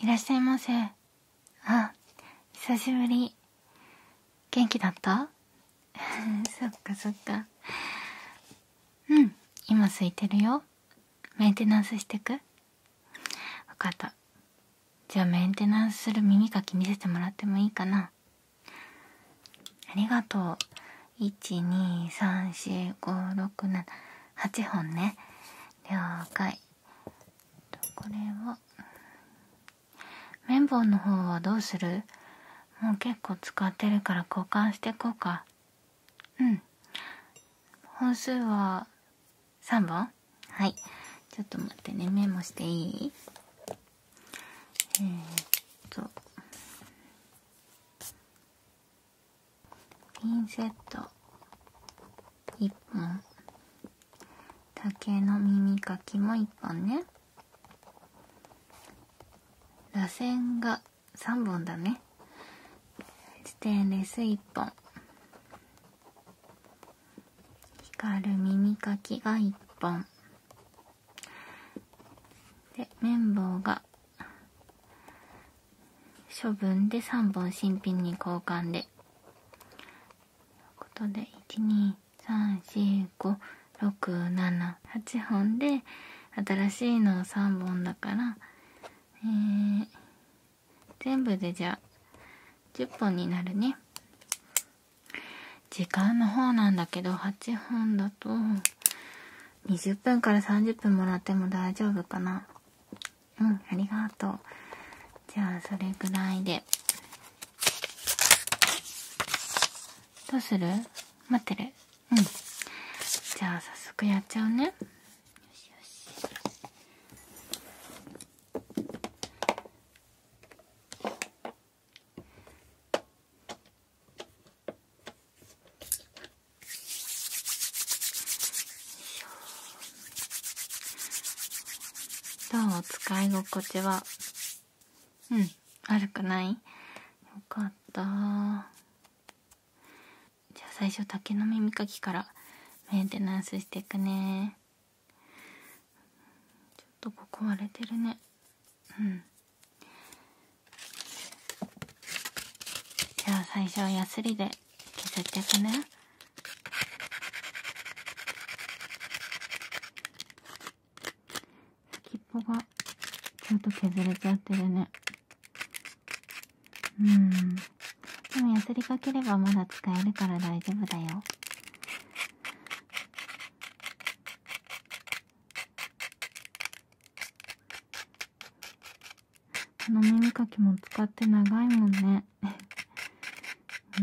いらっしゃいませ。あ、久しぶり。元気だった そっかそっか。うん、今空いてるよ。メンテナンスしてくわかった。じゃあメンテナンスする耳かき見せてもらってもいいかなありがとう1234567 8本ね了解これは綿棒の方はどうするもう結構使ってるから交換してこうかうん本数は3本はいちょっと待ってねメモしていいえっとピンセット1本竹の耳かきも1本ね螺旋が3本だねステンレス1本光る耳かきが1本で綿棒が処分で3本新品に交換でということで1234567 8本で新しいのを3本だから、え全部でじゃあ10本になるね時間の方なんだけど8本だと20分から30分もらっても大丈夫かなうん、ありがとう。じゃあ、それぐらいで。どうする待ってるうん。じゃあ、早速やっちゃうね。よしよし。よいしょ。どう使い心地はうん悪くないよかったじゃあ最初竹の耳かきからメンテナンスしていくねちょっとここ割れてるねうんじゃあ最初はヤスリで削ってくね先っぽがちょっと削れちゃってるねうんでもやすりかければまだ使えるから大丈夫だよこの耳かきも使って長いもんね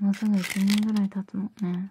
うんもうすぐ1年ぐらい経つもんね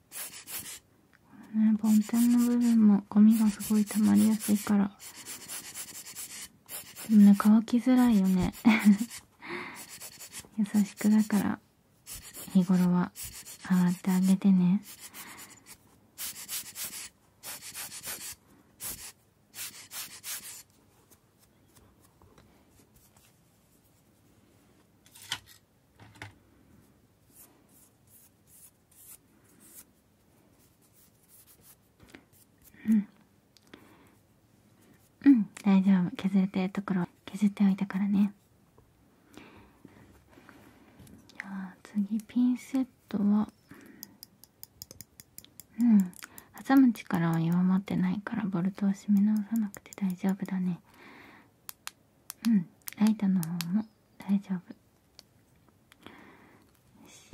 ね梵天の部分もゴミがすごい溜まりやすいからでもね乾きづらいよね 優しくだから日頃は洗ってあげてねうんうん大丈夫削れてるところ削っておいたからねじゃあ次ピンセットはうん挟む力は弱まってないからボルトを締め直さなくて大丈夫だねうんライトの方も大丈夫よし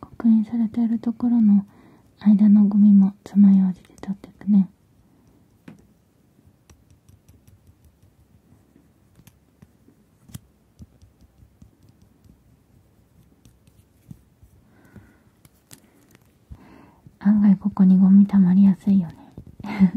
刻印されてるところの間のゴミもつまようじで取ってくね案外ここにゴミ溜まりやすいよね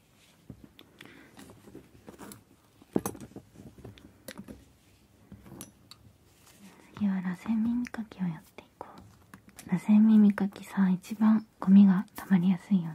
次は螺旋耳かきをやっていこう螺旋耳かきさ一番ゴミがたまりやすいよね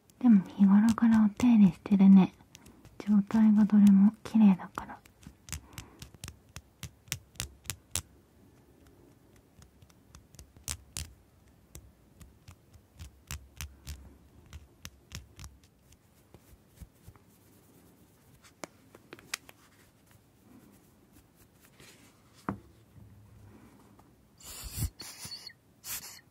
でも日頃からお手入れしてるね状態がどれも綺麗だから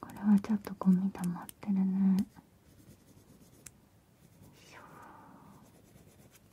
これはちょっとゴミ溜まってるね。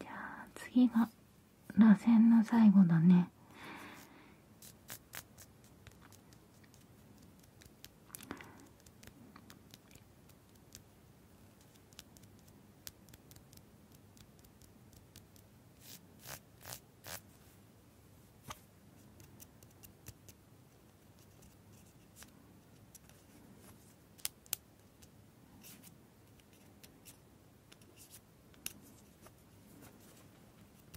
じゃあ次が螺旋の最後だね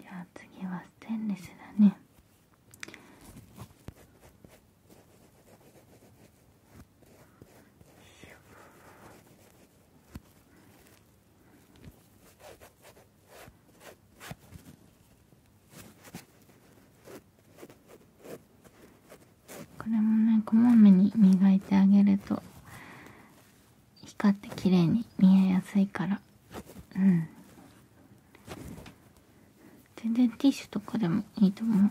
じゃあ次はステンレスだねよこれもねこまめに磨いてあげると光って綺麗に見えやすいからうん全然ティッシュとかでもいいと思う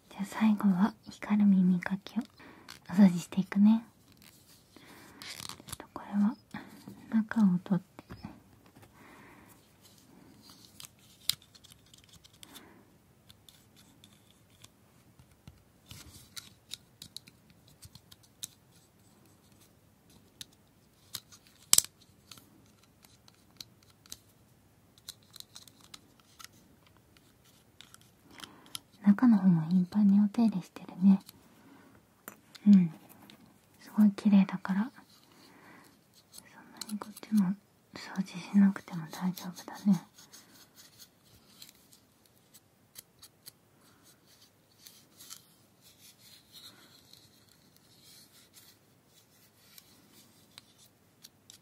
じゃあ最後は光る耳かきをお掃除していくねこれは中を取って中の方も頻繁にお手入れしてるねうんすごい綺麗だからそんなにこっちも掃除しなくても大丈夫だね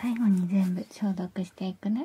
最後に全部消毒していくね。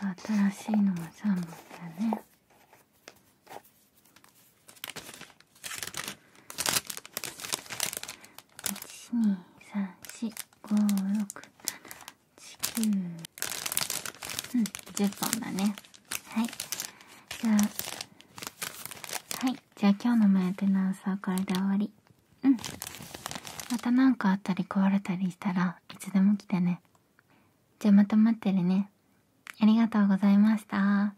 あと新しいのが3本だね1 2 3 4 5 6 7 8 9うん10本だねはいじゃあはいじゃあ今日のメンテナンスはこれで終わりうんまた何かあったり壊れたりしたらいつでも来てねじゃあまた待ってるねありがとうございました